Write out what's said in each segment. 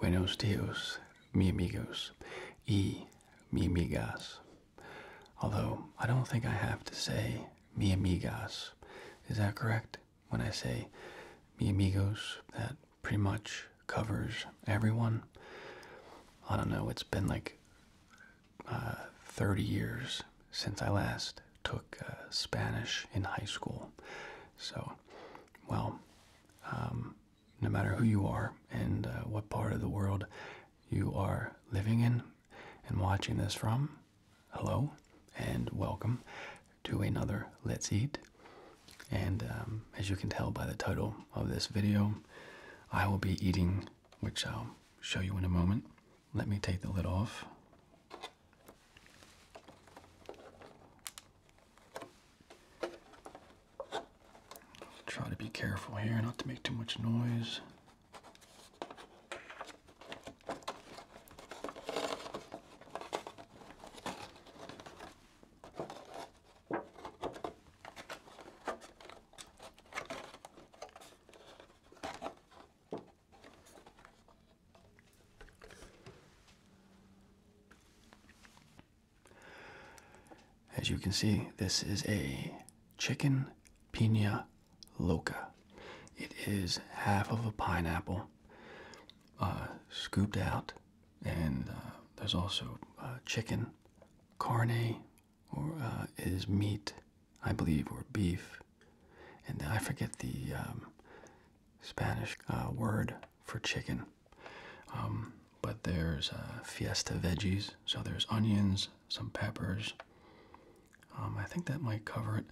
Buenos dias, mi amigos y mi amigas. Although I don't think I have to say mi amigas. Is that correct? When I say mi amigos, that pretty much covers everyone. I don't know, it's been like uh, 30 years since I last took uh, Spanish in high school. So, well, um, no matter who you are and uh, what part of the world you are living in and watching this from. Hello and welcome to another Let's Eat. And um, as you can tell by the title of this video, I will be eating, which I'll show you in a moment. Let me take the lid off. Try to be careful here, not to make too much noise. As you can see, this is a chicken pina loca. It is half of a pineapple uh, scooped out, and uh, there's also uh, chicken. Carne or, is meat, I believe, or beef. And I forget the um, Spanish word for chicken. Um, but there's uh, fiesta veggies, so there's onions, some peppers. Um, I think that might cover it.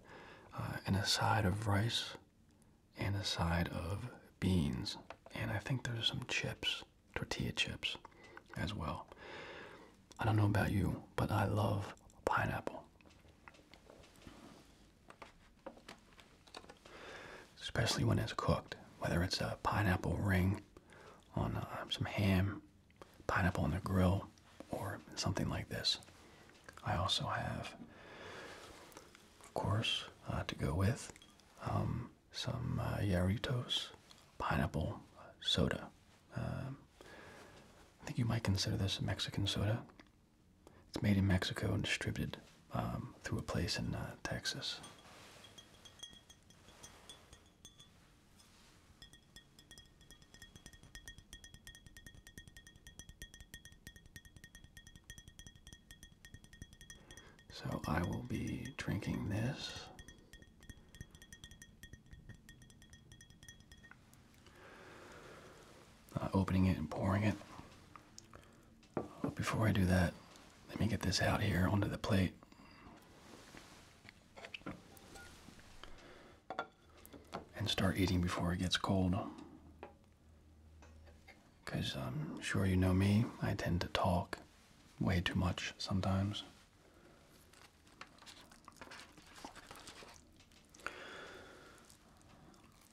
Uh, and a side of rice, and a side of beans, and I think there's some chips, tortilla chips, as well. I don't know about you, but I love pineapple especially when it's cooked, whether it's a pineapple ring on uh, some ham, pineapple on the grill, or something like this. I also have, of course, uh, to go with um, some uh, Yaritos, pineapple soda. Um, I think you might consider this a Mexican soda. It's made in Mexico and distributed um, through a place in uh, Texas. So I will be drinking this. Uh, opening it and pouring it before I do that, let me get this out here onto the plate. And start eating before it gets cold. Because I'm um, sure you know me, I tend to talk way too much sometimes.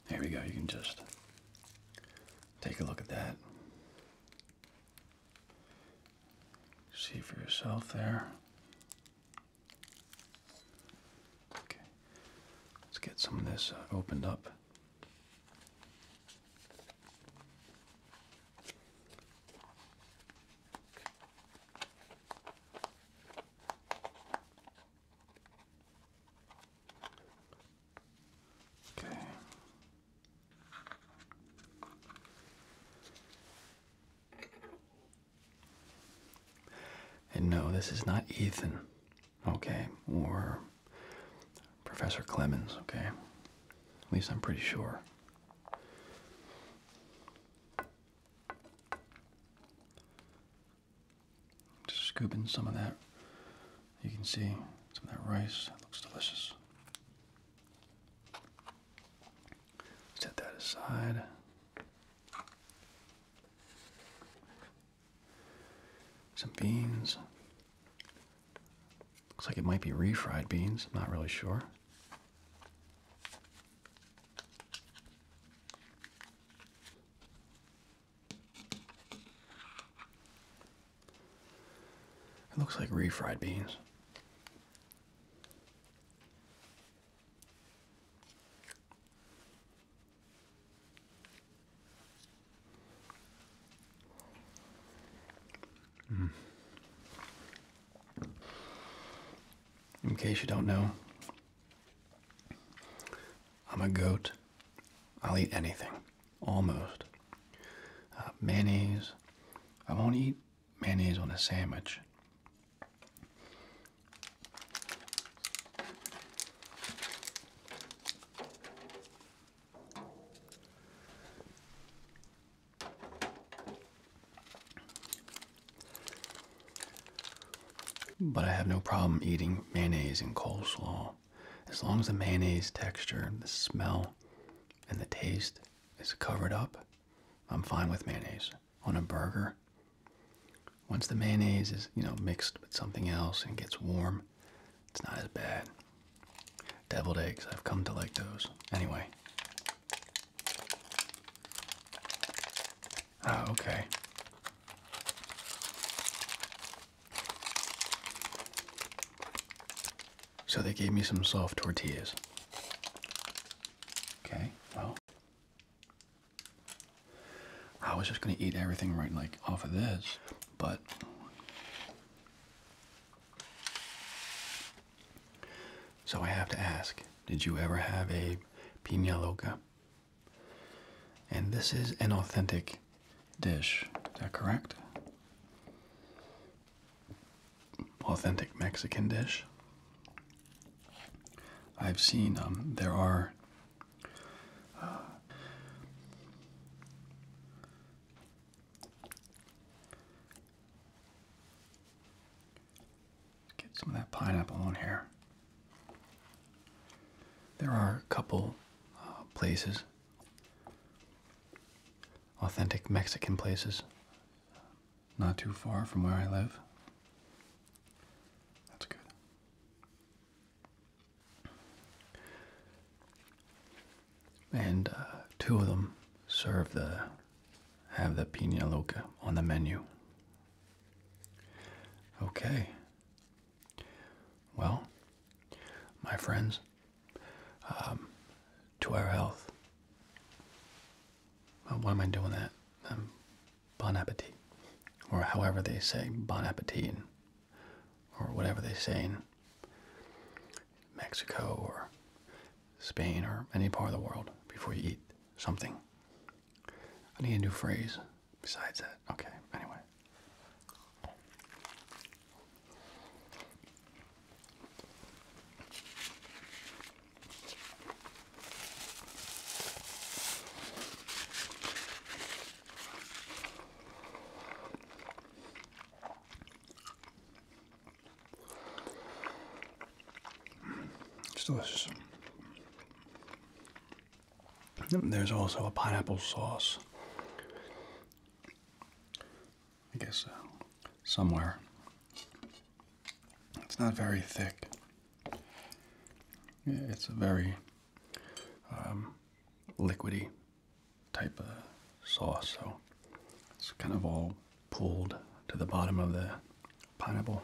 There we go, you can just take a look at that. See for yourself there. Okay, let's get some of this uh, opened up. Okay. And no, this is not Ethan, okay, or Professor Clemens, okay? At least I'm pretty sure. Just scooping some of that. You can see some of that rice. It looks delicious. Set that aside. Some beans. Looks like it might be refried beans. I'm not really sure. It looks like refried beans. Mm. In case you don't know, I'm a goat I'll eat anything, almost. Uh, mayonnaise. I won't eat mayonnaise on a sandwich. But I have no problem eating mayonnaise and coleslaw as long as the mayonnaise texture, the smell, and the taste is covered up, I'm fine with mayonnaise. On a burger, once the mayonnaise is, you know, mixed with something else and gets warm, it's not as bad. Deviled eggs, I've come to like those. Anyway. Oh, okay. So they gave me some soft tortillas. Okay, well, I was just gonna eat everything right like off of this, but so I have to ask: Did you ever have a pina loca? And this is an authentic dish. Is that correct? Authentic Mexican dish. I've seen um, there are uh, get some of that pineapple on here. There are a couple uh, places, authentic Mexican places, not too far from where I live. That's good. And uh, two of them serve the have the pina loca on the menu. Okay, well, my friends, um, to our health. Why am I doing that? Um, bon appetit. Or however they say bon appetit. Or whatever they say in Mexico or Spain or any part of the world before you eat something. I need a new phrase besides that. Okay, anyway. It's delicious. There's also a pineapple sauce. I guess uh, somewhere. It's not very thick. It's a very um, liquidy type of sauce, so it's kind of all pulled to the bottom of the pineapple.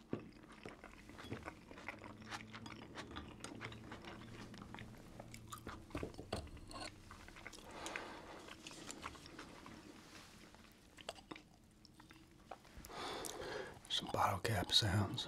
Some bottle cap sounds.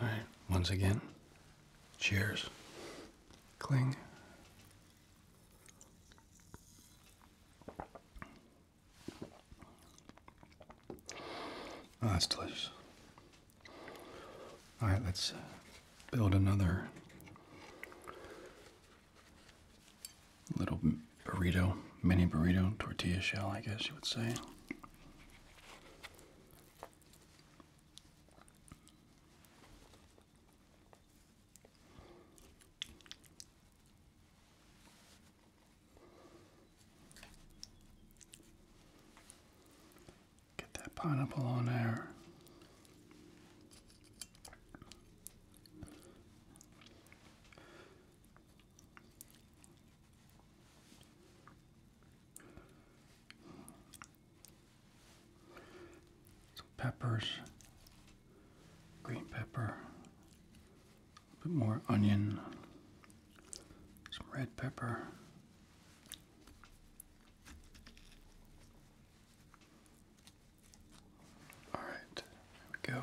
All right, once again, cheers. Cling. Oh, that's delicious. All right, let's uh, build another little burrito, mini burrito, tortilla shell, I guess you would say. Get that pineapple on there. Some peppers, green pepper, a bit more onion, some red pepper. All right, there we go.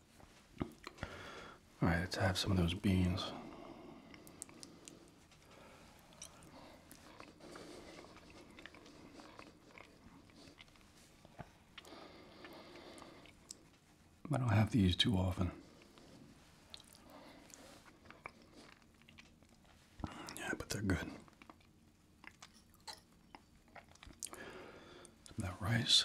All right, let's have some of those beans. I don't have these too often. Yeah, but they're good. that rice.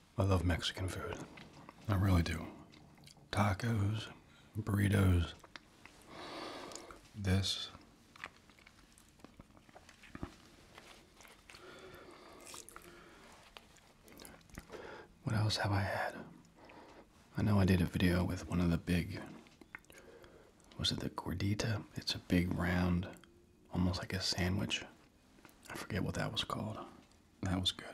I love Mexican food. I really do. Tacos, burritos. This What else have I had? I know I did a video with one of the big was it the gordita? It's a big round almost like a sandwich I forget what that was called. That was good.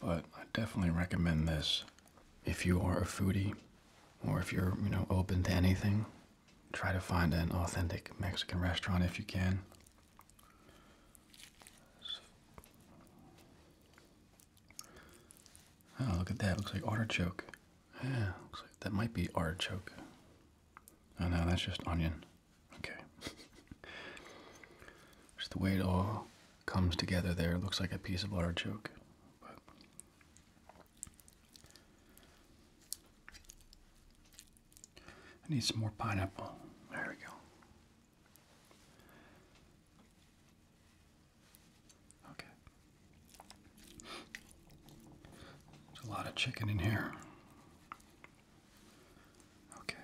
But I definitely recommend this if you are a foodie or if you're, you know, open to anything. Try to find an authentic Mexican restaurant if you can. Oh, look at that. Looks like artichoke. Yeah, looks like that might be artichoke. Oh, no, that's just onion. Okay. just the way it all comes together there. looks like a piece of artichoke. But I need some more pineapple. There we go. Okay. There's a lot of chicken in here. Okay.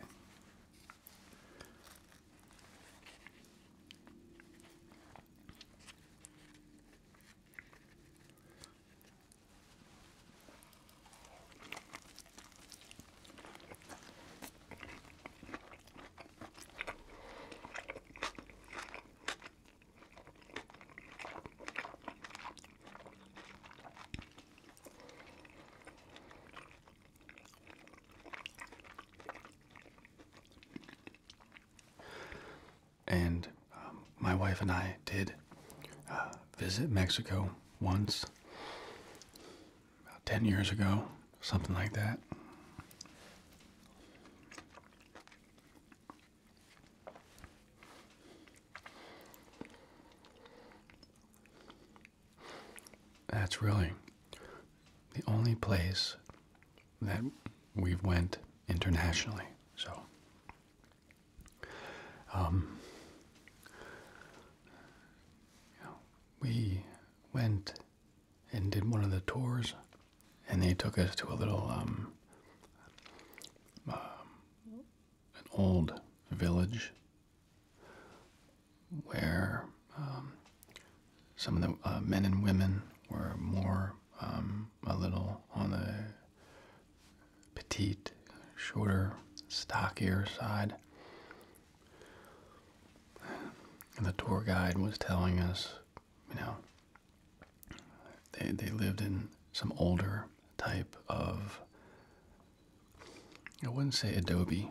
And um, my wife and I did uh, visit Mexico once about 10 years ago, something like that. That's really the only place that we've went internationally. So um, we went and did one of the tours, and they took us to a little um, um, an old village where some of the uh, men and women were more a little on the petite, shorter, stockier side. and The tour guide was telling us, you know, they they lived in some older type of I wouldn't say adobe.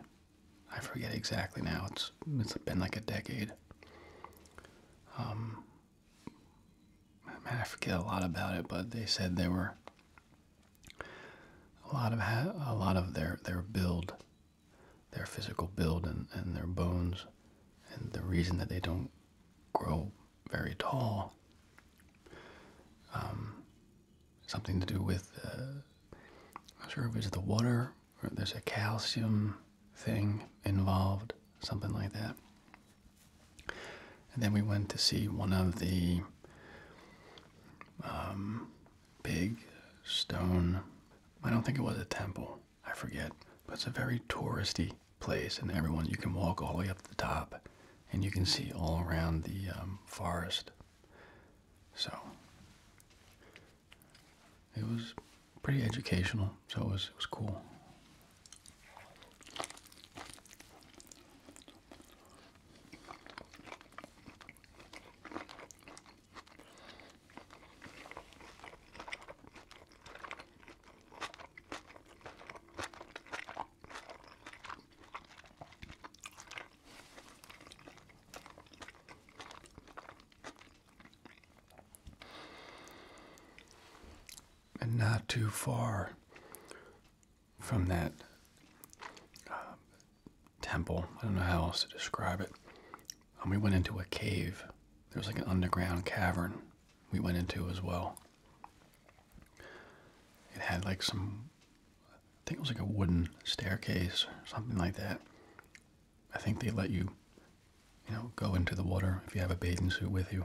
I forget exactly now. It's it's been like a decade. Um, I forget a lot about it, but they said they were a lot of a lot of their their build, their physical build and, and their bones, and the reason that they don't grow very tall. Um, something to do with I'm uh, sure if it's the water or there's a calcium thing involved, something like that. And then we went to see one of the um, big stone, I don't think it was a temple, I forget, but it's a very touristy place. And everyone, you can walk all the way up to the top and you can see all around the um, forest. So it was pretty educational, so it was, it was cool. And not too far from that um, temple. I don't know how else to describe it. Um, we went into a cave. There was like an underground cavern we went into as well. It had like some, I think it was like a wooden staircase or something like that. I think they let you, you know, go into the water if you have a bathing suit with you.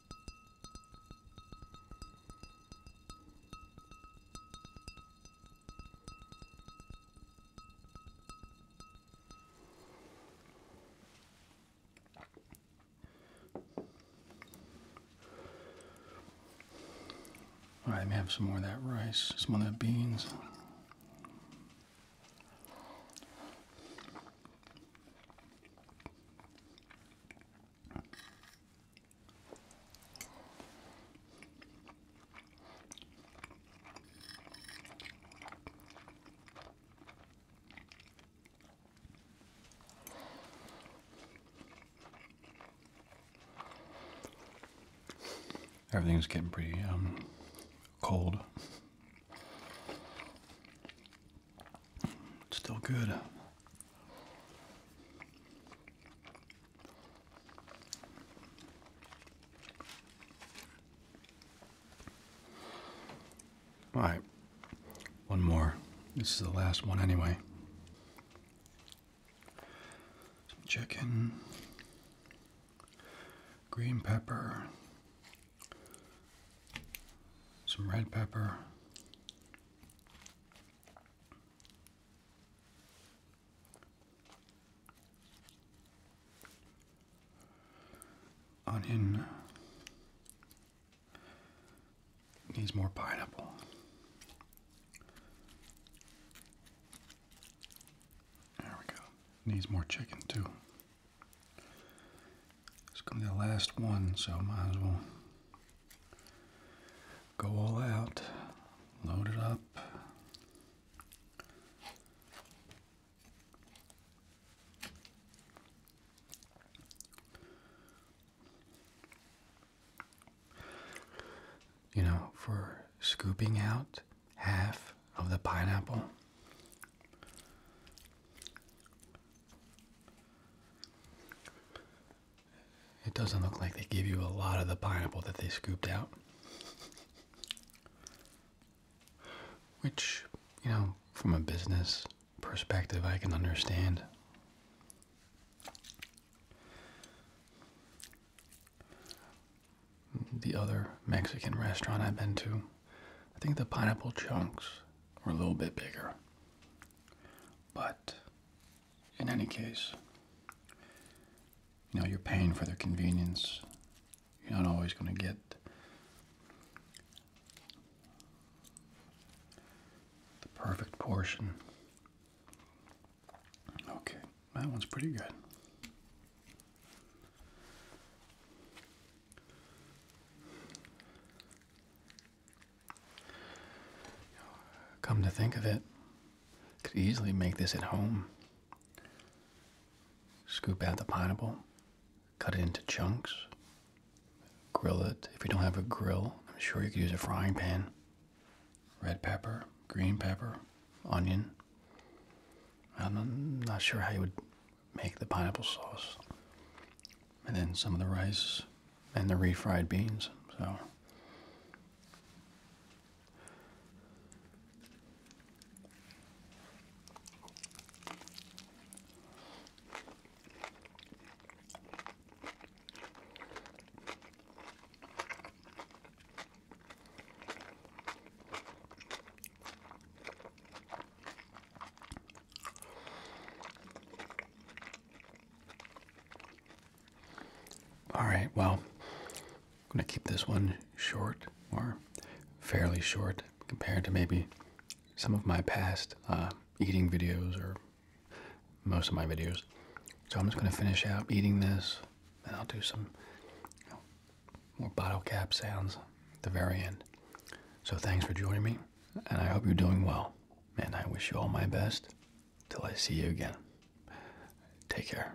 All right, let me have some more of that rice, some of that beans. Everything's getting pretty um, cold still good. All right, one more. This is the last one anyway. Some chicken, green pepper, some red pepper, Onion needs more pineapple. There we go. Needs more chicken too. It's gonna be the last one, so might as well Go all out, load it up. You know, for scooping out half of the pineapple. It doesn't look like they give you a lot of the pineapple that they scooped out. Which, you know, from a business perspective, I can understand. The other Mexican restaurant I've been to, I think the pineapple chunks were a little bit bigger. But in any case. You know, you're paying for their convenience. You're not always going to get the perfect portion. Okay, that one's pretty good come to think of it, could easily make this at home. Scoop out the pineapple, cut it into chunks, grill it. If you don't have a grill, I'm sure you could use a frying pan. Red pepper, green pepper, onion. I'm not sure how you would make the pineapple sauce and then some of the rice and the refried beans. So all right, well, I'm going to keep this one short or fairly short compared to maybe some of my past uh, eating videos or most of my videos. So I'm just going to finish out eating this and I'll do some more bottle cap sounds at the very end. So thanks for joining me and I hope you're doing well. And I wish you all my best Till I see you again. Take care.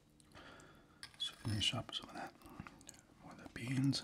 So finish up some of that, more of the beans.